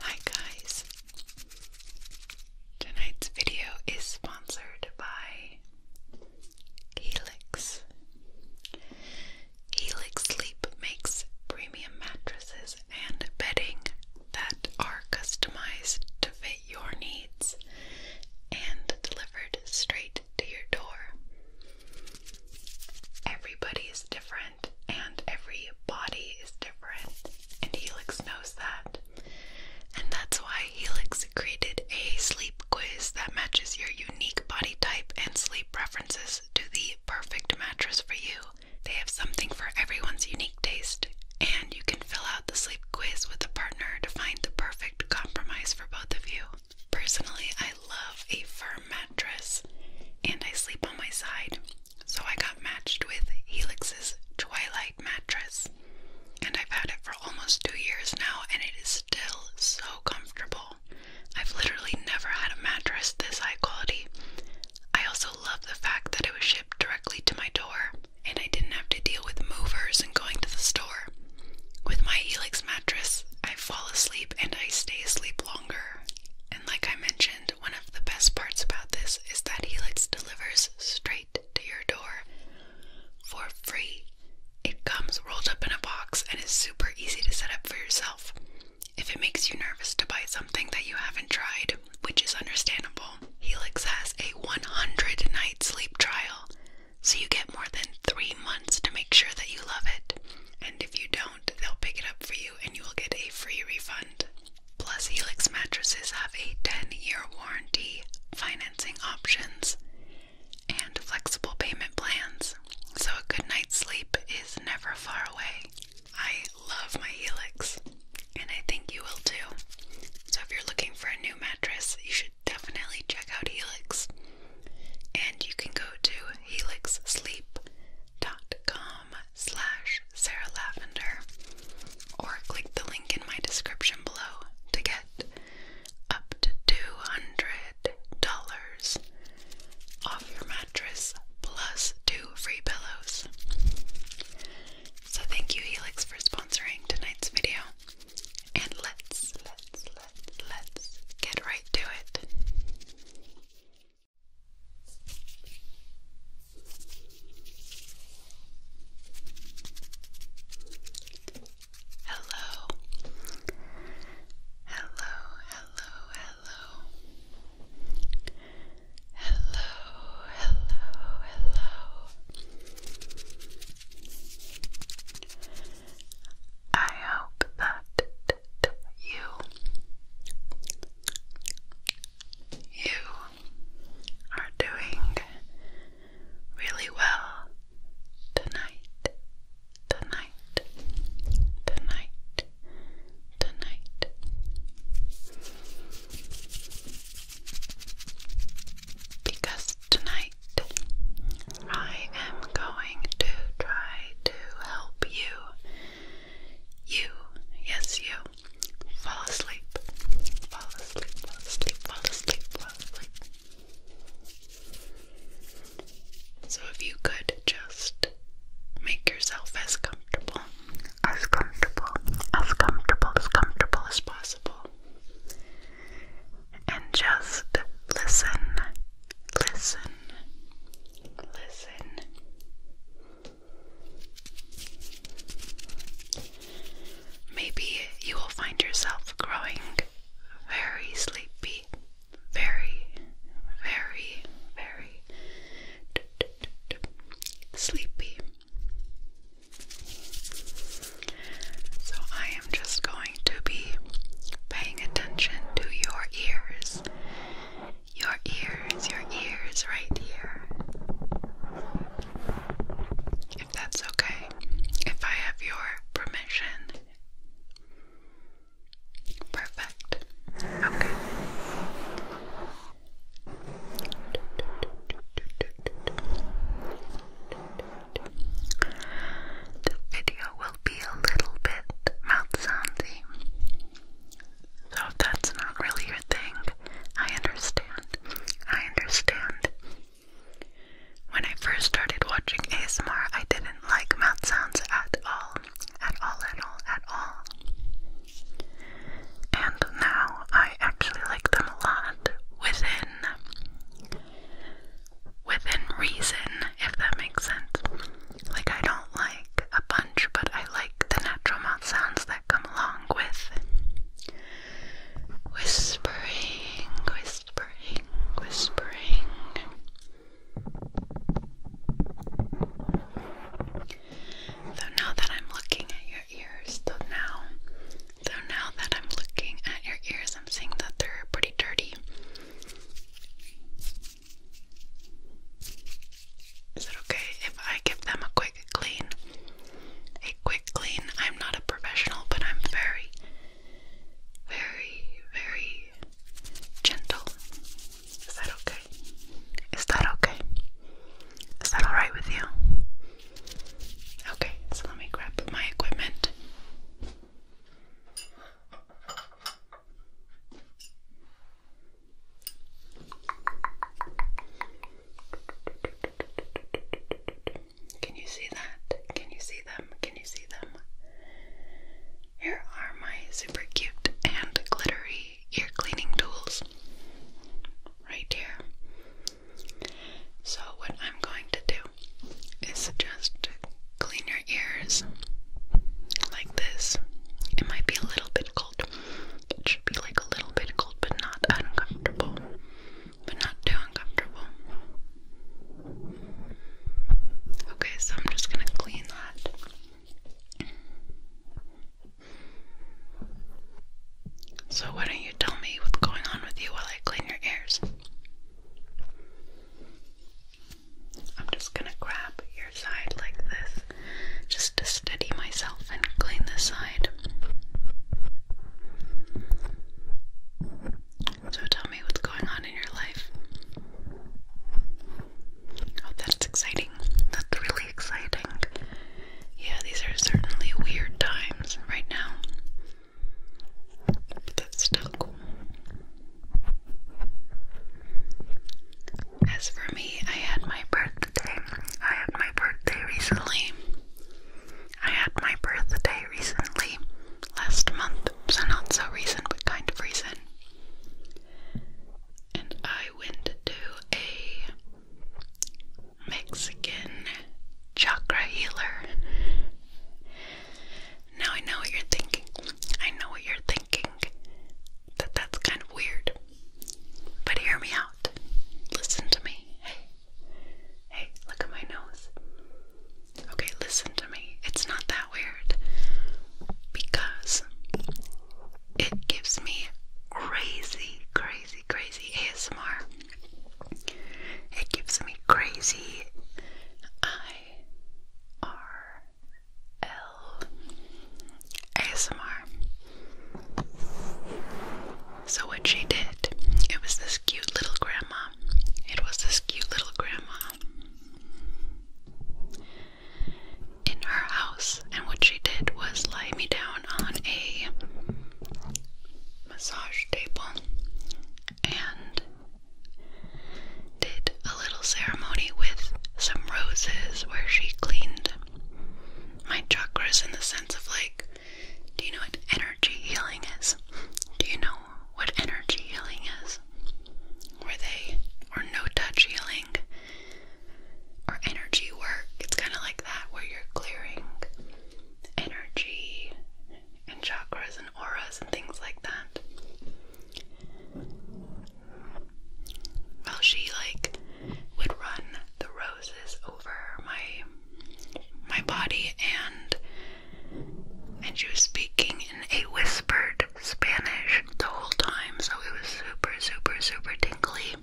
Hi guys! Tonight's video is sponsored by Helix. Helix Sleep makes premium mattresses and bedding that are customized to fit your needs and delivered straight to your door. Everybody is different and every body is different, and Helix knows that. And that's why Helix created a sleep quiz that matches your unique body type and sleep preferences to the perfect mattress for you. They have something for everyone's unique taste, and you can fill out the sleep quiz with a partner to find the perfect compromise for both of you. Personally, I love a firm mattress and I sleep on my side, so I got matched with Helix's Twilight mattress, and I've had it for almost two years now, and it is still so comfortable. I've literally never had a mattress this high quality. I also love the fact that it was shipped directly to my door, and I didn't have to deal with movers and going to the store. With my Helix mattress, I fall asleep and I stay asleep longer. And like I mentioned, one of the best parts about this is that Helix delivers straight to your door for free. It comes rolled up in a box and is super easy to set up for yourself. If it makes you nervous to buy something that you haven't tried, which is understandable, Helix has a 100 night sleep trial, so you get more than three months to make sure that you love it. And if you don't, they'll pick it up for you and you will get a free refund. Plus, Helix mattresses have a 10 year warranty, financing options, and flexible payment plans. So, a good night's sleep is never far away. I love my Helix, and I think you will too. So, if you're looking for a new mattress, you should definitely check out Helix. And you can go to helixsleep.com dot com slash Sarah or click the link in my description below to get up to two hundred dollars off your mattress plus two free pillows. So thank you Helix for sponsoring tonight's video. And let's let's let's let's get right to it. Hello, hello, hello, hello, hello, hello, I hope that you. You are doing really well tonight, tonight, tonight, tonight. Because tonight I am going to try to help you you, yes, you. Fall asleep. Fall asleep, fall asleep, fall asleep, fall asleep. So if you could just make yourself as comfortable, as comfortable, as comfortable, as comfortable as possible. And just listen, listen, listen, Maybe you will find yourself growing very sleepy, very, very, very sleepy. So, I am just going to be paying attention to your ears your ears, your ears right here. If that's okay, if I have your permission. Perfect. Okay. The video will be a little bit mouth soundy. So that's not really your thing, I understand. I understand. When I first started watching ASMR, I didn't like mouth sounds at all. At all, at all, at all. And now I actually like them a lot within within reason, if that makes sense. Like, I don't like a bunch, but I like the natural mouth sounds that come along with whispering, whispering, whispering. Though now that I'm looking at your ears, though now, though now that I'm looking at your ears, I'm seeing that they're pretty dirty. Is it okay if I give them a quick clean? A quick clean. I'm not a professional, but I'm very, very, very gentle. Is that okay? Is that okay? Is that alright with you? Okay, so let me grab my equipment. Can you see that? Can you see them? Can you see them? Here are my super cute and glittery ear cleaning tools right here. So, what I'm going to do is just clean your ears like this. It might be a little bit it should be like a little bit cold, but not uncomfortable, but not too uncomfortable. Okay, so I'm just gonna clean that. So, why don't you tell me what's going on with you while I clean your ears? I'm just gonna grab side like this just to steady myself and clean the side. So tell me what's going on in your life. Oh, that's exciting. That's really exciting. Yeah, these are certainly weird times right now. But that's still cool. As for me, I had my birthday. I had my birthday recently. I had my birthday recently, last month, so not so recent, but kind of recent. And I went to a Mexican chakra healer. Now I know what you're thinking. I know what you're thinking that that's kind of weird. But hear me out. Listen to me. Hey. Hey, look at my nose. Okay, listen to me. It's not that weird because it gives me crazy, crazy, crazy ASMR. It gives me crazy I R L ASMR. So, what she did, it was this cute little grandma. It was this cute little grandma in her house. And what she did was lay me down on a massage table and did a little ceremony with some roses where she cleaned my chakras in the sense of like, do you know what energy healing is? Do you know what energy healing is? where they or no touch healing or energy work? It's kind of like that where you're clearing energy and chakras and auras and things like that. Well, she like would run the roses over my my body and and she was speaking in a whispered Spanish the whole time, so it was super, super, super tingly.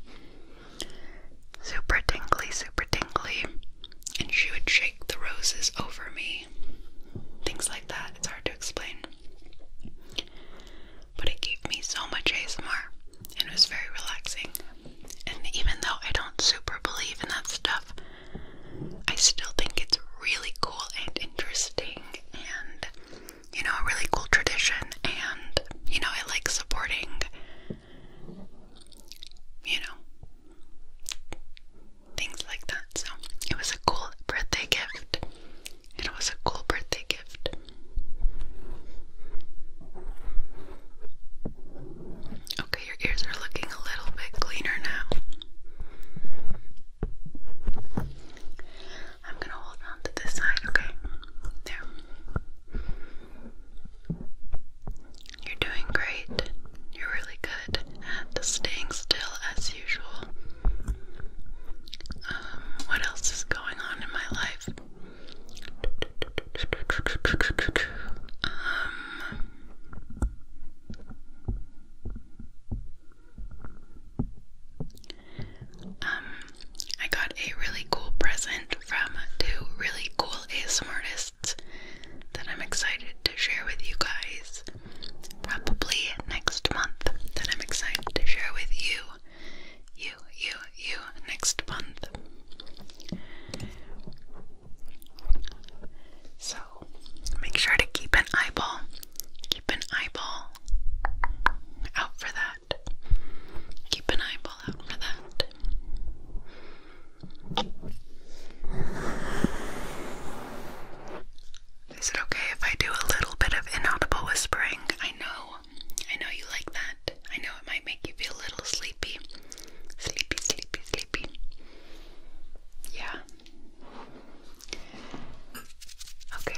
Super tingly, super tingly. And she would shake the roses over me. Things like that. It's hard to explain but it gave me so much ASMR and it was very relaxing. And even though I don't super believe in that stuff, I still think it's really cool and interesting and, you know, a really cool tradition. And, you know, I like supporting, you know, things like that. So it was a cool birthday gift. It was a cool birthday gift. Okay, your ears are looking a little bit cleaner now. I'm gonna hold on to this side, okay? There. You're doing great. You're really good at staying still as usual. Um, what else is going on in my life. Um, um, I got a really cool present from two really cool ASMR artists that I'm excited to share with you guys. Probably next month that I'm excited to share with you you, you, you next month. So make sure to keep an eyeball, keep an eyeball out for that. Keep an eyeball out for that. Is it okay if I do a little bit of inaudible whispering? I know I know you like that. I know it might make you feel a little sleepy. Sleepy, sleepy, sleepy. Yeah. Okay.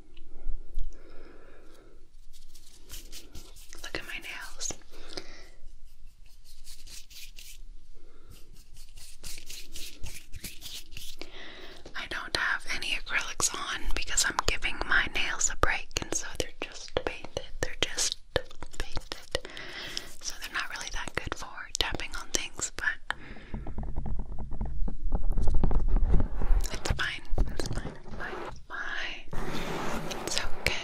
Look at my nails. I don't have any acrylics on because I'm giving my nails a break, and so they're just painted. They're just painted. So they're not really that good for tapping on things, but it's fine. It's fine. fine. fine. It's okay.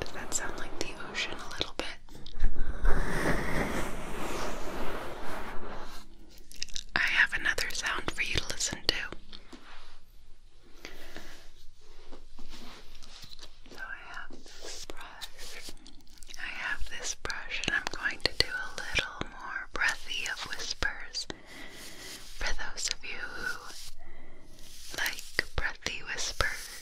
Does that sound like the ocean a little bit? I have another sound for you to listen to. So I have this brush. I have this brush, and I'm going to do a little more breathy of whispers for those of you who like breathy whispers.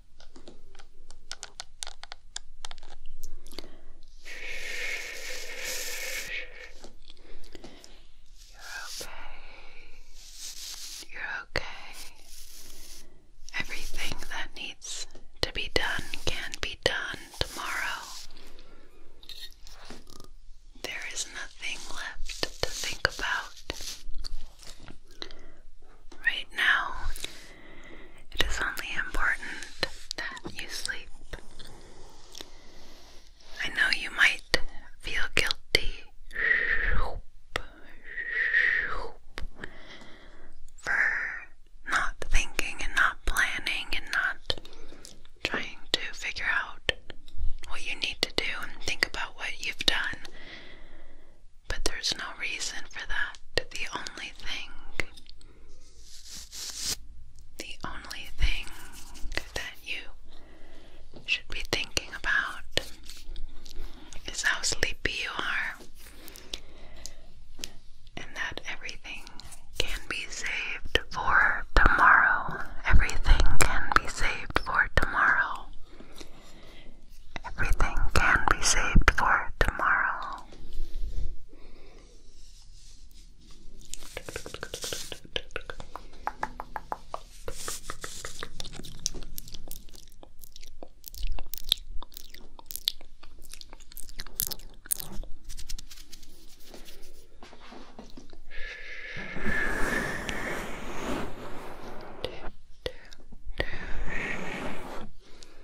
You're okay. You're okay. Everything that needs to be done can be done tomorrow. There is nothing left to think about. Right now, it is only important that you sleep. I know you might feel guilty for not thinking and not planning and not trying to figure out what you need to do and think about what you've done. But there's no reason for that. The only thing, the only thing that you should be thinking about is how sleepy you are, and that everything can be saved for tomorrow. Everything can be saved for tomorrow. Everything can be saved for tomorrow. Shh.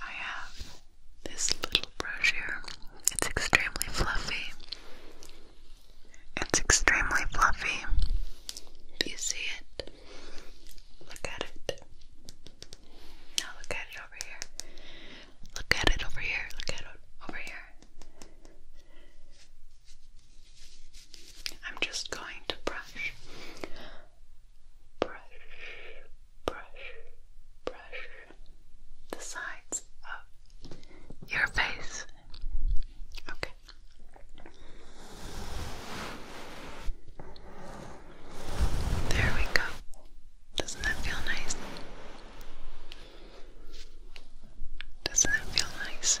I have this little brush here. It's extremely fluffy. It's extremely fluffy. Do you see it? Look at it. Now look at it over here. Look at it over here. Look at it over here. I'm just going to brush, brush, brush, brush the sides of your face. Okay. There we go. Doesn't that feel nice? does that feel nice?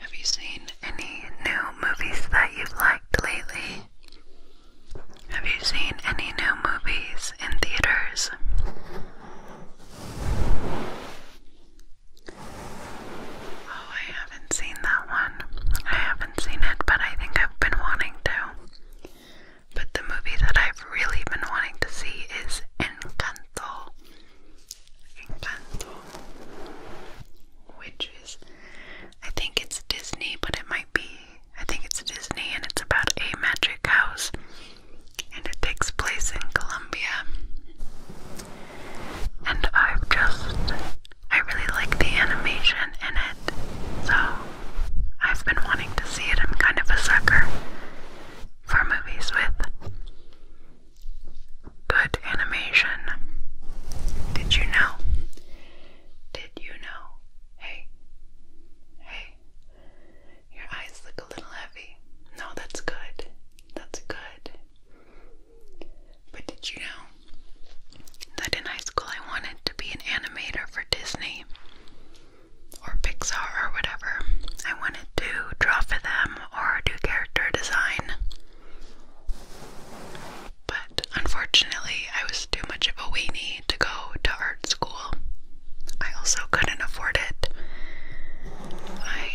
Have you seen any new movies that you've liked lately? Have you seen any new movies in theaters? Oh, I haven't seen that one. I haven't seen it, but I think I've been wanting to. But the movie that I've really been wanting to see is Encanto. Encanto. Which is, I think it's Disney, but it might be. I think it's Disney and it's about a magic house and it takes place in Colombia. And I've just, I really like the animation in it, so I've been wanting to see it. I'm kind of a sucker for movies with good animation. Did you know? Did you know? Hey, hey, your eyes look a little heavy. No, that's good. That's good. But did you know that in high school I wanted to be an animator for Disney or Pixar or whatever? I wanted to draw for them or do character design. But unfortunately, I was too much of a weenie to go to art school. I also couldn't afford it. I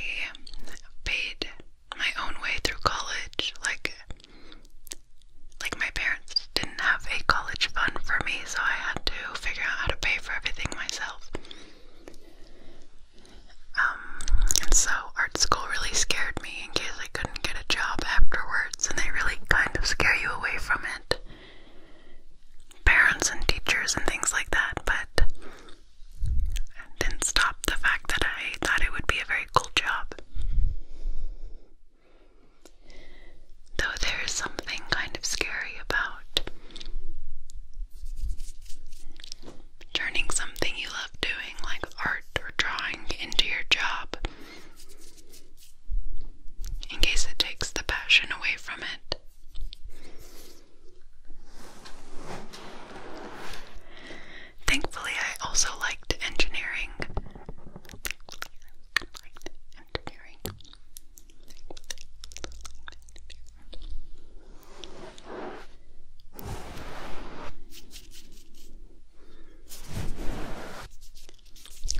paid my own way through college. Like like my parents didn't have a college fund for me, so I had to figure out how to pay for everything myself. Um, so art school really scared me in case I couldn't get a job afterwards, and they really kind of scare you away from it parents and teachers and things like that, but didn't stop the fact that I thought it would be a very cool job. Though there is something kind of scary about turning something you love doing, like art or drawing, into your job in case it takes the passion away from it. Thankfully, I also liked engineering.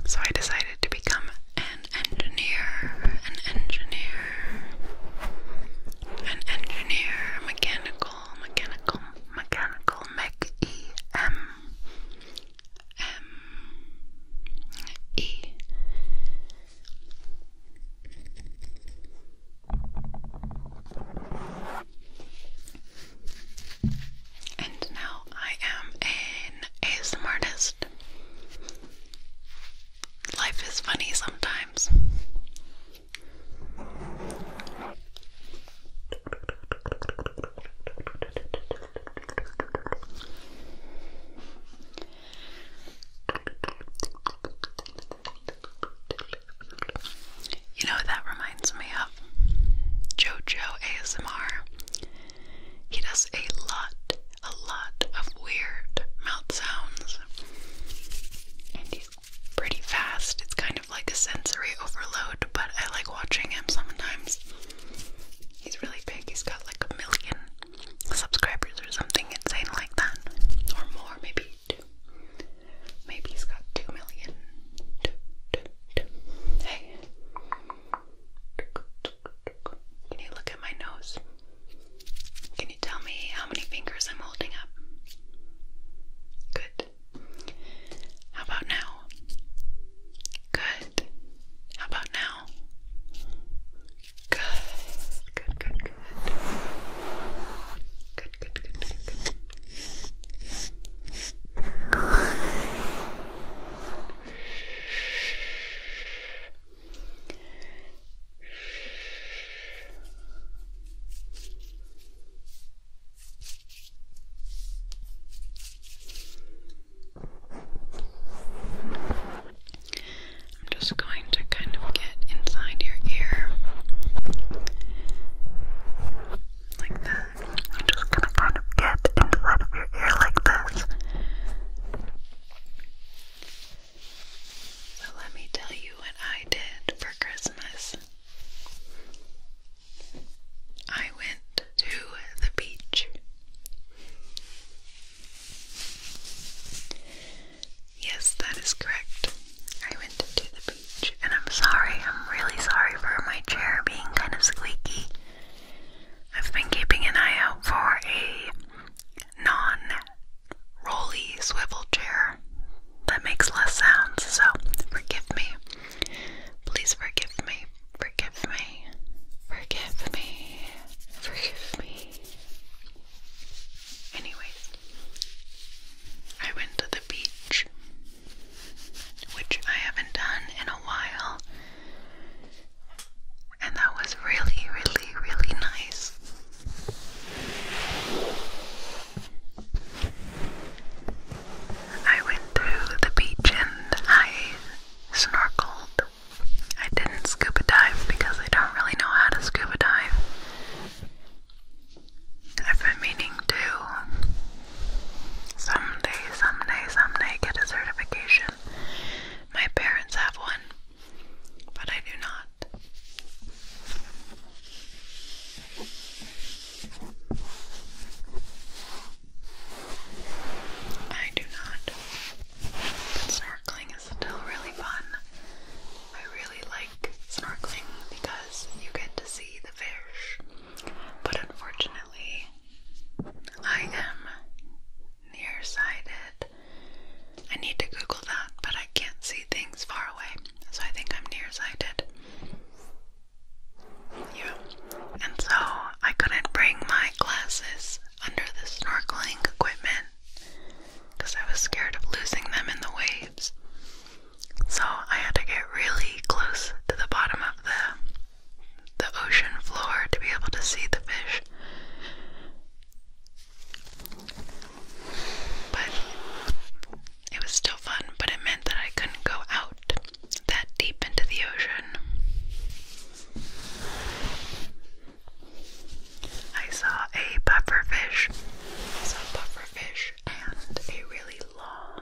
So I decided to become an an engineer, an engineer, an engineer, mechanical, mechanical, mechanical, mech E M M E. And now I am an ASMR artist. Life is funny sometimes. You know that reminds me of? JoJo ASMR. He does a lot a lot of weird mouth sounds. And he's pretty fast. It's kind of like a sensory overload, but I like watching him sometimes. He's really big. He's got like a million subscribers or something insane like that. Or more, maybe two. Maybe he's got two million. Hey. Can you look at my nose? Can you tell me how many fingers I'm holding up? Good. How about now? Good. How about now? Good. Good, good, good. Good, good, good, good, I'm just going to kind of get inside your ear like that. I'm just going to kind of get inside of your ear like this. So let me tell you what I did for Christmas. I went to the beach. Yes, that is correct. I went to the beach, and I'm sorry, I'm really sorry for my chair being kind of squeaky. I've been keeping an eye out for a non rolly swivel chair that makes less sounds. So forgive me. Please forgive me. Forgive me. Forgive me. Forgive me. Anyways, I went to the beach, which I haven't done in a while. And that was really, really, really nice. I went through the beach and I snorkeled. I didn't scuba dive because I don't really know how to scuba dive. I've been meaning to someday, someday, someday get a certification. My parents have one but I do not. I do not. But snorkeling is still really fun. I really like snorkeling because you get to see the fish. But unfortunately, I am nearsighted I need to Google that, but I can't see things far away, so I think I'm nearsighted. Yeah. And so I couldn't bring my glasses under the snorkeling equipment because I was scared of losing them in the waves. So I had to get really close to the bottom of the the ocean floor to be able to see the fish. But it was still fun, but it meant that I couldn't go out that deep into the ocean. I saw a pufferfish. I saw a pufferfish and a really long,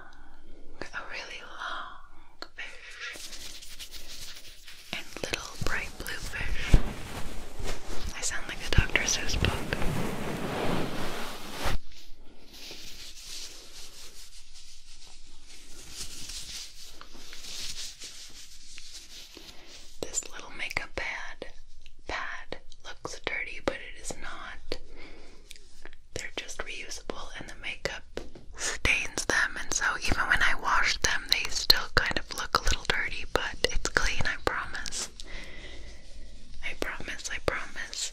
a really long fish and little bright blue fish. I sound like a Dr. Seuss book. This little makeup pad pad looks dirty, but it is not. They're just reusable and the makeup stains them and so even when I wash them they still kind of look a little dirty, but it's clean, I promise. I promise, I promise.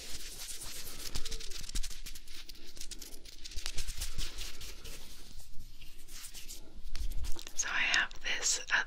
So I have this other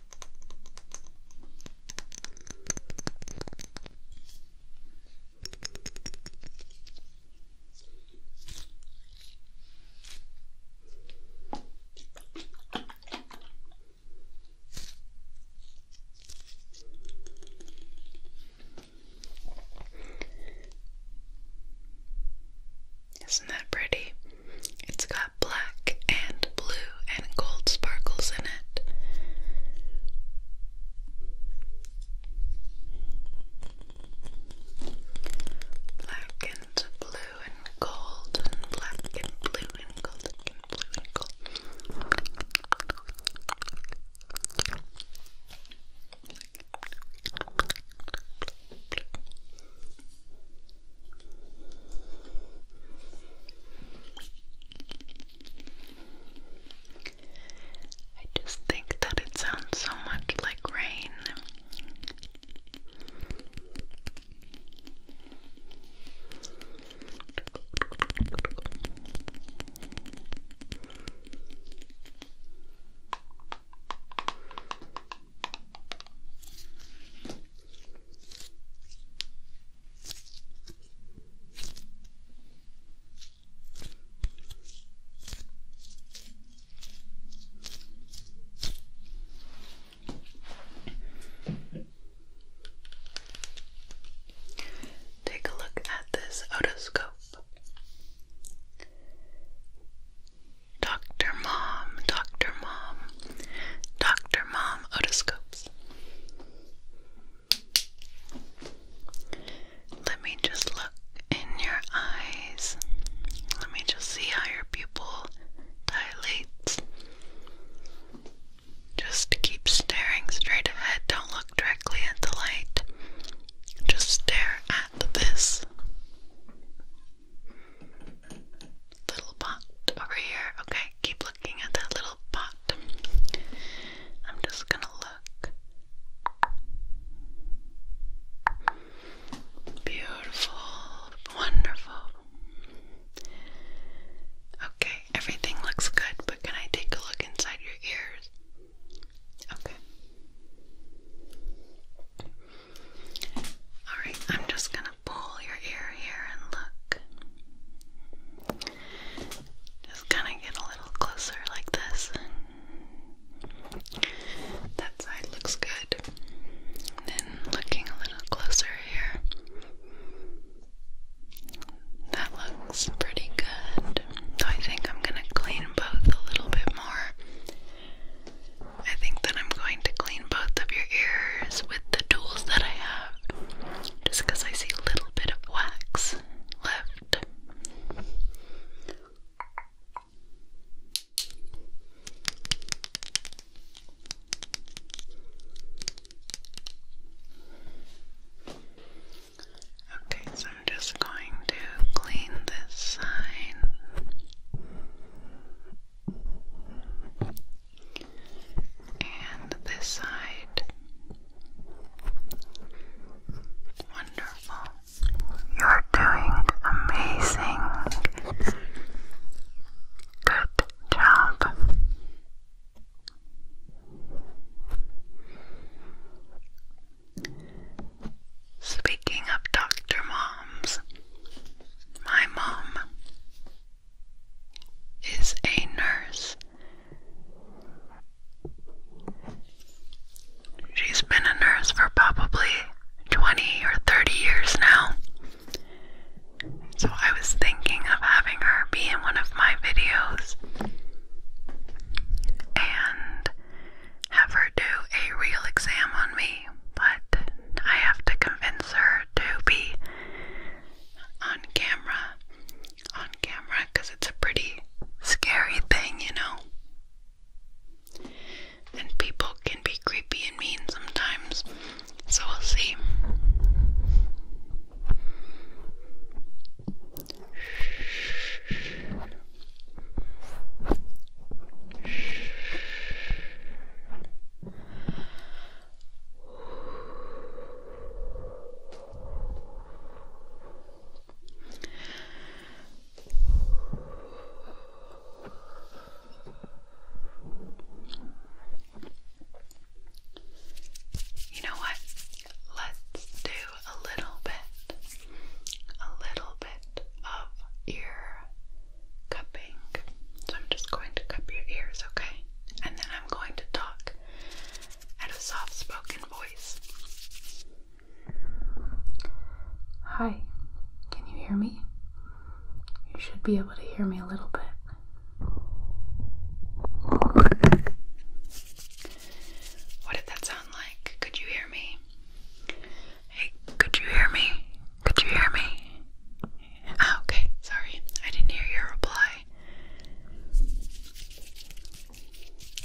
Isn't that pretty? It's got black and blue and gold sparkles in it. Black and blue and gold and black and blue and gold and blue and gold. I just think that it sounds so much like rain. Take a look at this otoscope. Dr. Mom, Dr. Mom, Dr. Mom otoscopes. Let me just look in your eyes. Let me just see how your pupil dilates. Just keep staring straight ahead. Don't look directly at the light. Just stare at this little pot over here. Okay, keep looking at that little pot I'm just gonna look. Beautiful, wonderful. Okay, everything looks good, but can I take a look inside your ears? Okay. Alright, I'm just gonna pull your ear here and look. Just kind of get a little closer like this. That side looks good. Then looking a little closer here. That looks pretty good. I think I'm going to clean both a little bit more. I think that I'm going to clean both of your ears with the tools that I have just because I see a little bit of wax left. Okay, so I'm just going to clean this side and this side. Wonderful. You're doing amazing. Good job. Speaking of Dr. Moms, my mom is a nurse. She's been a nurse for probably 20 or 30 years now. So I was thinking of having her be in one of my videos and have her do a real exam on me, but I have to convince her to be on camera on camera because it's a pretty scary thing, you know. And people can be creepy and mean sometimes, so we'll see. You know what? Let's do a little bit, a little bit of ear cupping. So I'm just going to cup your ears, okay? And then I'm going to talk and a soft spoken voice. Hi, can you hear me? You should be able to hear me a little bit. What did that sound like? Could you hear me? Hey, could you hear me? Could you hear me? Ah, okay, sorry. I didn't hear your reply.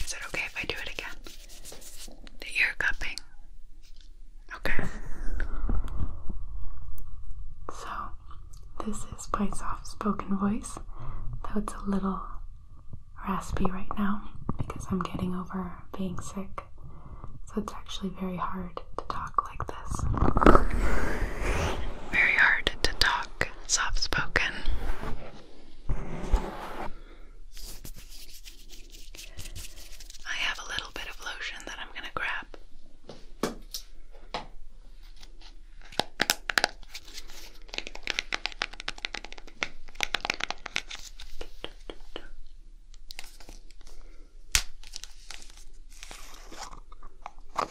Is it okay if I do it again? ear cupping. Okay. So, this is by soft spoken voice, though it's a little raspy right now because I'm getting over being sick. So, it's actually very hard to talk like this. Very hard to talk soft spoken. I have a little bit of lotion that I'm going to grab.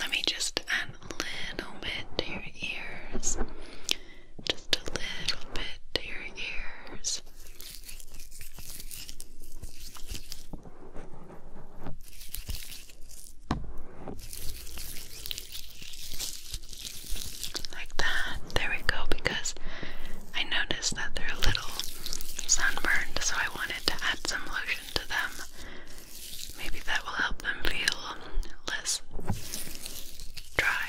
Let me just add a little bit to your ears just a little bit to your ears. Like that. There we go, because I noticed that they're a little sunburned, so I wanted to add some lotion to them. Maybe that will help them feel less dry.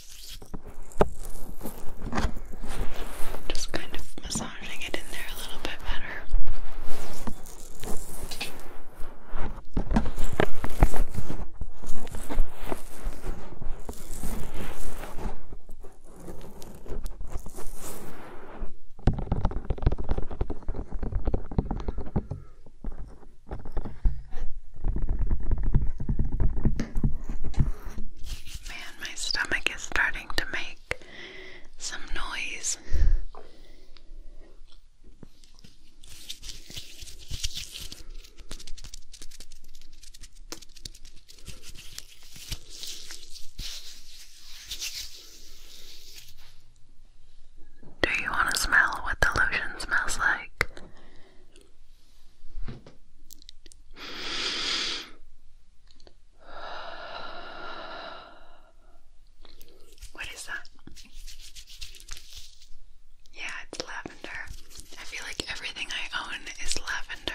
Just kind of massaging it in there a little bit better. Man, my stomach is starting to make some noise. Do you want to smell what the lotion smells like? What is that? Yeah, it's lavender. I feel like everything I own is lavender.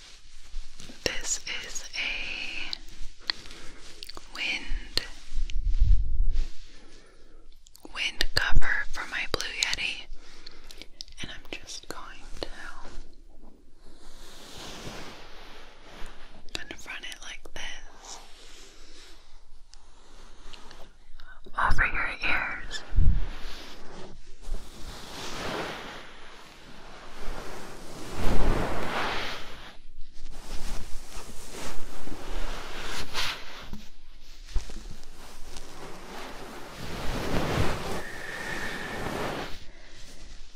This is a wind wind cover for my Blue Yeti, and I'm just going to kind of run it like this over your ears.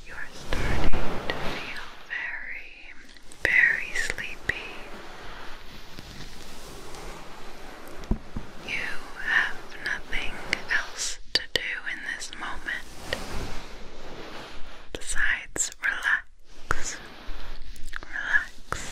You are starting to feel very, very sleepy. You have nothing else to do in this moment the sides, relax, relax.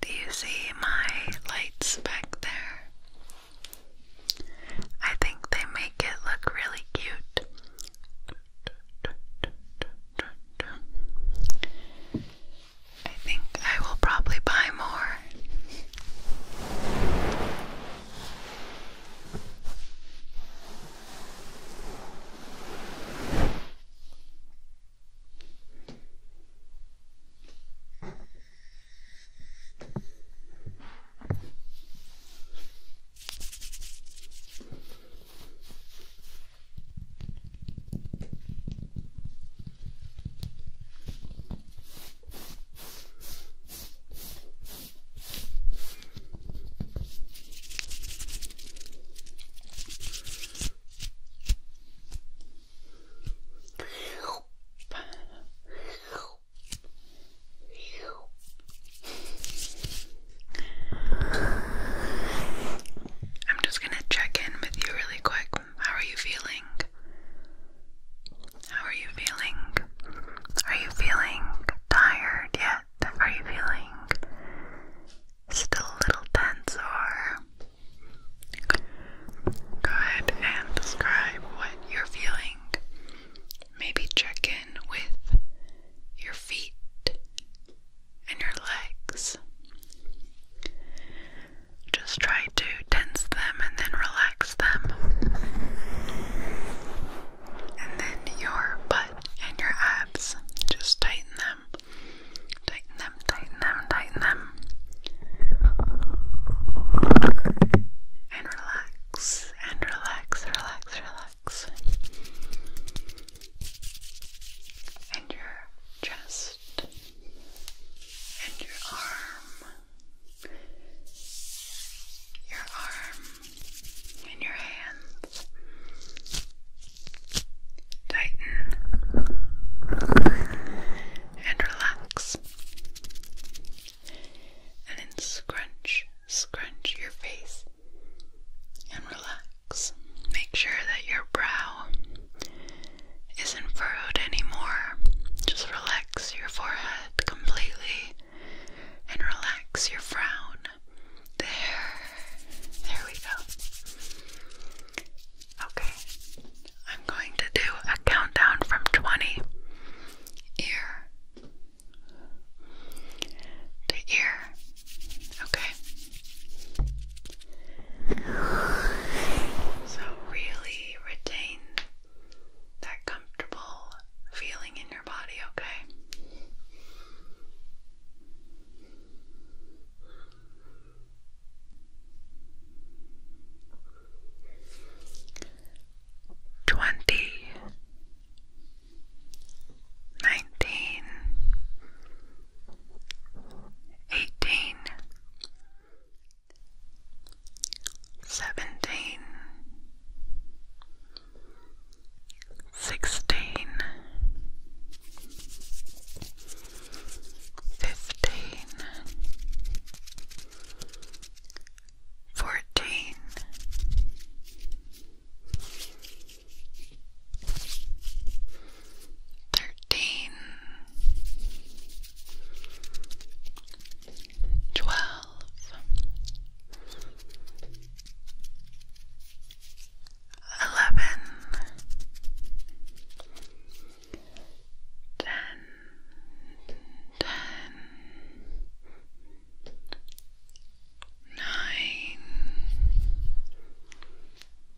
Do you see my lights back there? I think they make it look really cute. I think I will probably buy more. I'm just going to check in with you really quick how are you feeling? How are you feeling? Are you feeling tired yet? Are you feeling still a little tense or? Go and describe what you're feeling. Maybe check in with your feet and your legs. Just try to tense them and then relax them. And then your butt and your abs, just tighten them. Tighten them, tighten them, tighten them. And relax, and relax, relax, relax. And your chest and your arm, your arm and your hand Tighten and relax. And then scrunch, scrunch your face and relax. Make sure that your brow isn't furrowed anymore. Just relax your forehead completely and relax your frown. There. There we go. Okay. I'm going to do a countdown from 20 ear to ear. Okay. So, really retain that comfortable feeling in your body, okay? Twenty nineteen eighteen seventeen, sixteen, fifteen, fourteen thirteen, twelve, eleven, ten, ten, nine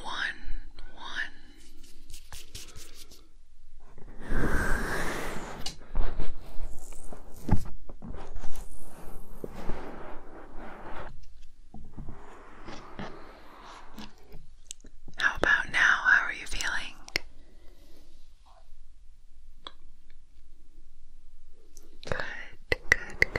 one, one. How about now? How are you feeling? Good, good, good.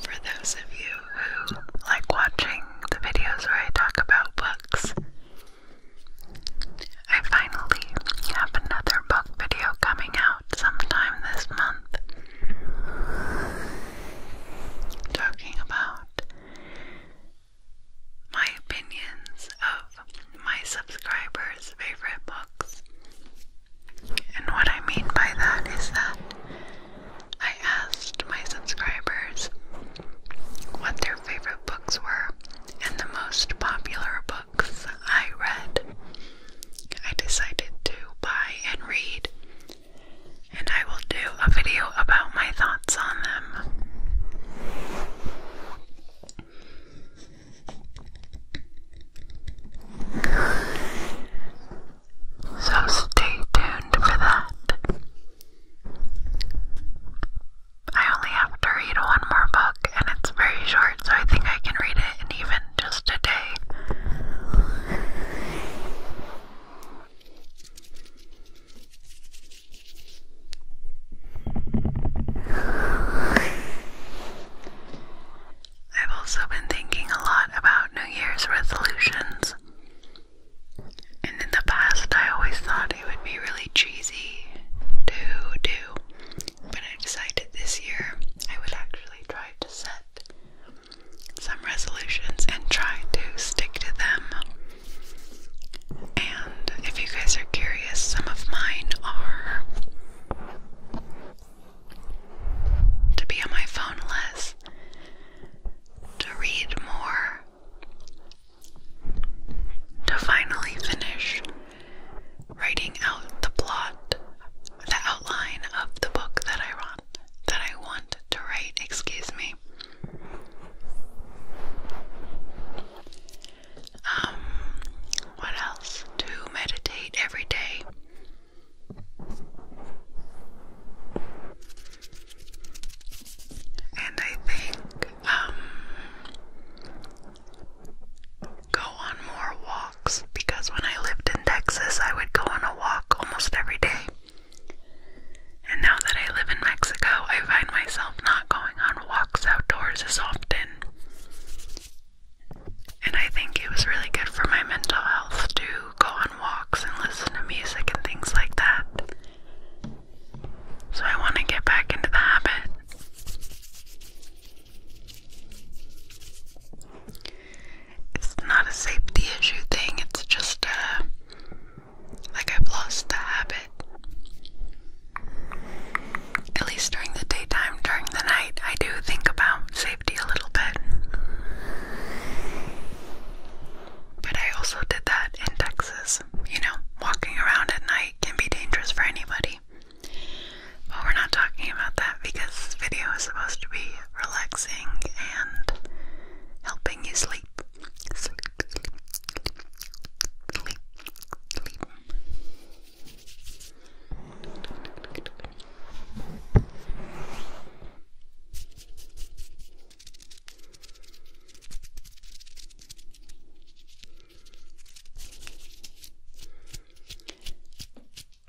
For those of you who like watching the videos where I talk about books, I finally have another book video coming out sometime this month talking about my opinions of my subscribers' favorite books. And what I mean by that is that I asked my subscribers what their favorite books were and the most popular books I read, I decided to buy and read, and I will do a video about my thoughts on them. So stay tuned for that. I only have to read one more book, and it's very short, so I think I can read it in even just a day. I've also been thinking a lot about New Year's resolutions. And in the past, I always thought it would be really cheesy to do, but I decided this year I would actually try to set some resolutions and try to stick to them. And if you guys are curious, some of mine are to be on my phone less, to read more, to finally finish writing out the plot, the outline of the book that I want that I want to write, excuse me. Um what else? To meditate every day. And I think um go on more walks because when I lived in Texas, I would go on a walk almost every day. And now that I live in Mexico, I find myself not going on walks outdoors as often. And I think it was really good for my mental health to go on walks and listen to music and things like that. So I want to get back into the habit. It's not a safety issue thing, it's just uh, like I've lost the habit. At least during the daytime, during the night, I do think about safety a little bit. But I also did that in Texas, you know, walking around at night can be dangerous for anybody. But we're not talking about that because this video is supposed to be relaxing and helping you sleep.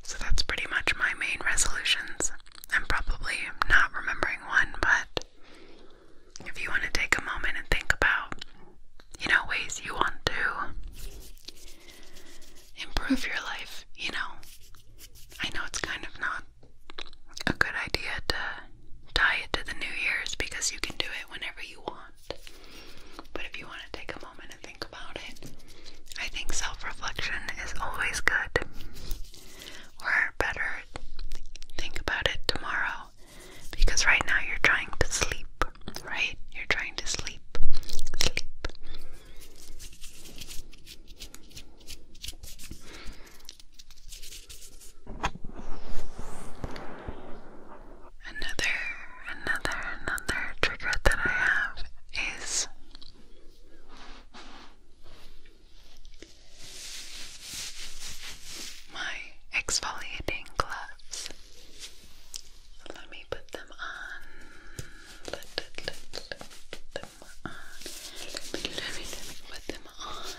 So that's pretty much my main resolutions. I'm probably not remembering one, but if you want to take a moment and think about, you know, ways you want to improve your life, you know, I know it's kind of not a good idea to tie it to the New Year's because you can do it whenever you want. But if you want to take a moment and think about it, I think self reflection is always good. Or better, think about it tomorrow. Because right now you're trying to sleep, right? You're trying to sleep. Sleep. Another, another, another trigger that I have is my exfoliating gloves. Let me put them on. Let, let, let, them on. let me, let me put them on.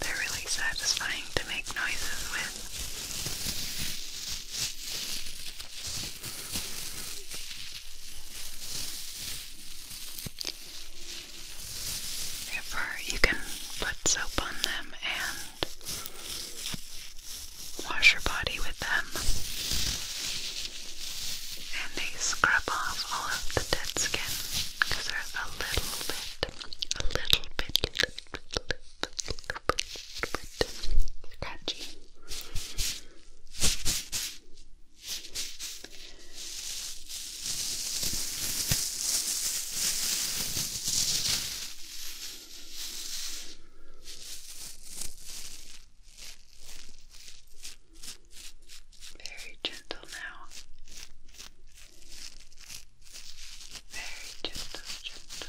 They're really satisfying to make noises with. Therefore, you can put soap on them and wash your body with them, and they scrub off all of the dead skin because they're a little bit a little bit, Very gentle now. Very gentle, gentle. Very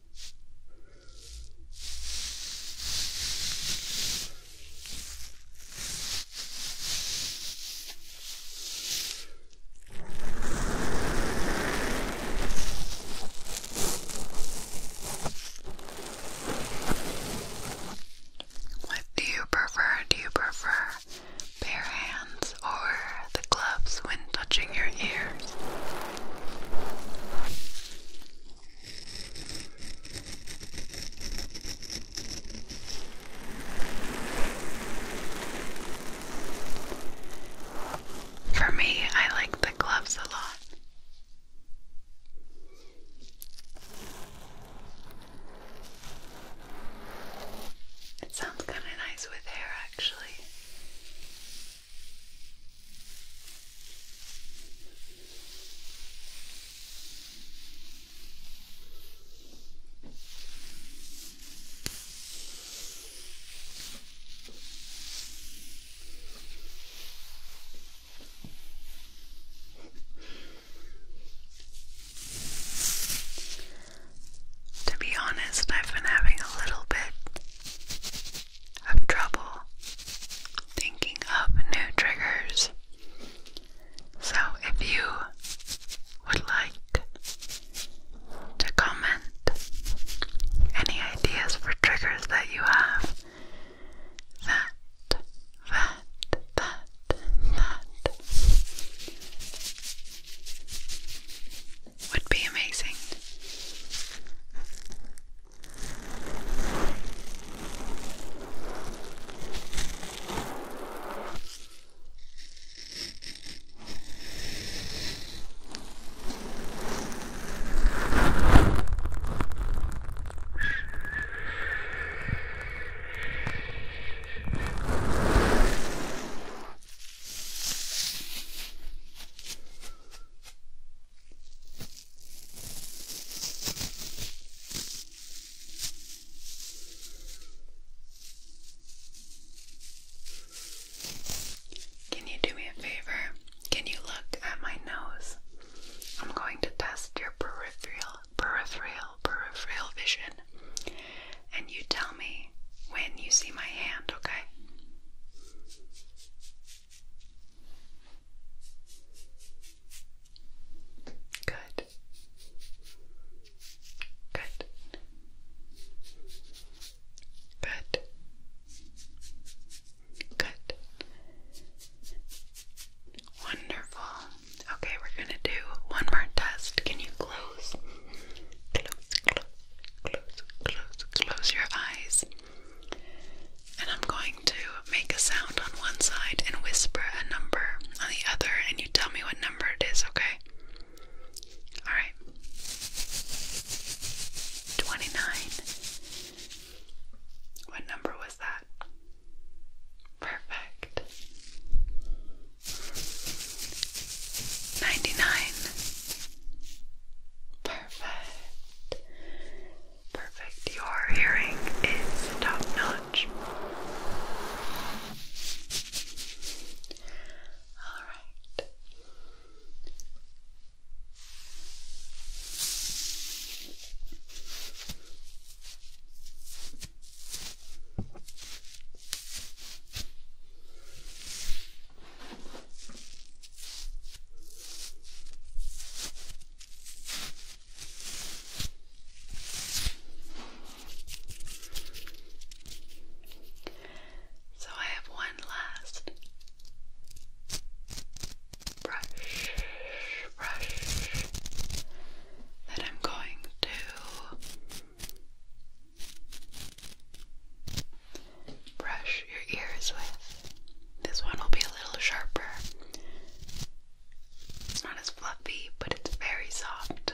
What do you prefer? Do you prefer bare hands or the gloves when touching your ears. For me, I like the gloves a lot. It sounds kind of nice with hair, actually. To be honest, I've been having a little bit of trouble thinking of new triggers. So if you would like to comment any ideas for triggers that you have, that, that, that, that would be amazing. Can you do me a favor? Can you look at my nose? I'm going to test your peripheral, peripheral, peripheral vision. And you tell when you see my hand, okay? Good. Good. Good. Good. Wonderful. Okay, we're going to do one more test. Can you close? Close, close, Close, close, close your eyes. And I'm going to make a sound on one side and whisper a number on the other, and you tell me what number it is, okay? Alright. 29. What number was that? Perfect. 99. Perfect. Perfect. Your hearing is top notch. Alright. So I have one last brush, brush that I'm going to brush your ears with. This one will be a little sharper. It's not as fluffy, but it's very soft.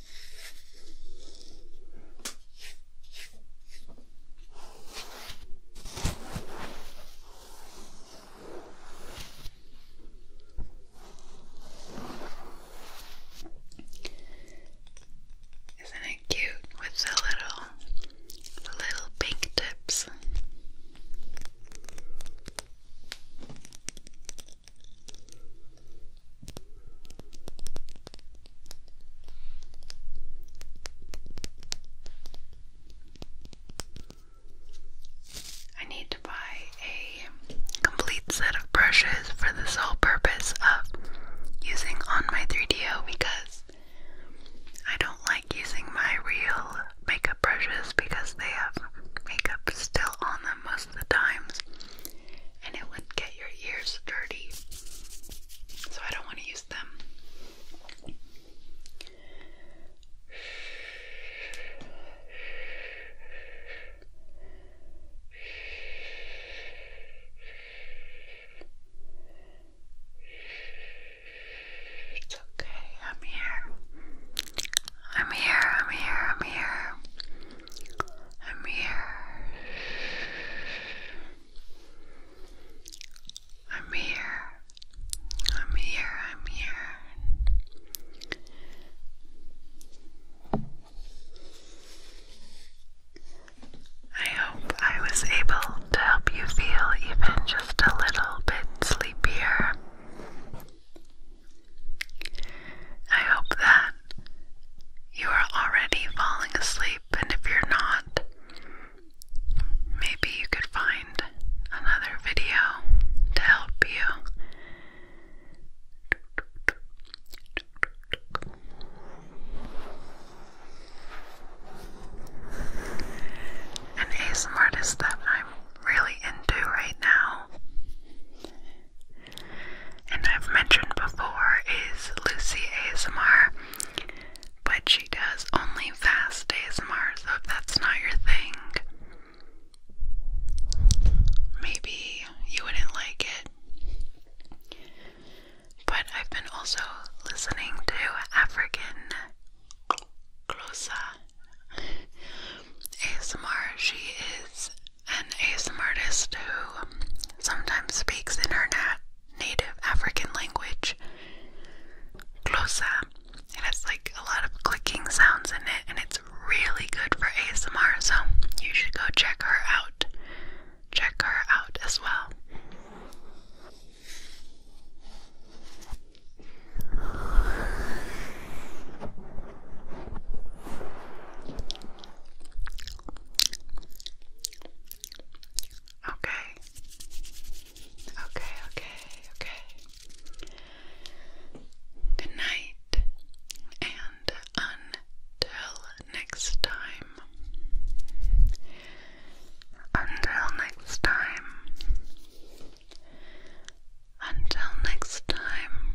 Isn't it cute with the little little pink tips? I need to buy a complete set of brushes for the sole purpose of using on my 3DO because I don't like using my real makeup brushes because they have makeup still on them most of the times and it would get your ears dirty. So I don't want to use them. It's okay, I'm here. I'm here, I'm here, I'm here. I'm here. I'm here. I'm here. I'm here. I hope I was able to help you feel even just a little bit sleepier. I hope that you are already falling asleep, and if you're not, maybe you could find another video to help you. An ASMR artist that I'm really into right now and I've mentioned before is Lucy ASMR, but she does only fast ASMR, so if that's not your thing, maybe you wouldn't like it. But I've been also listening to African Glosa ASMR. She is an ASM artist who sometimes speaks in her native African language, Glosa. It has like a lot of clicking sounds in it, and it's really good for ASMR, so you should go check her out. Check her out as well. Okay. Okay, okay, okay. Good night, and until next time. Until next time. Until next time.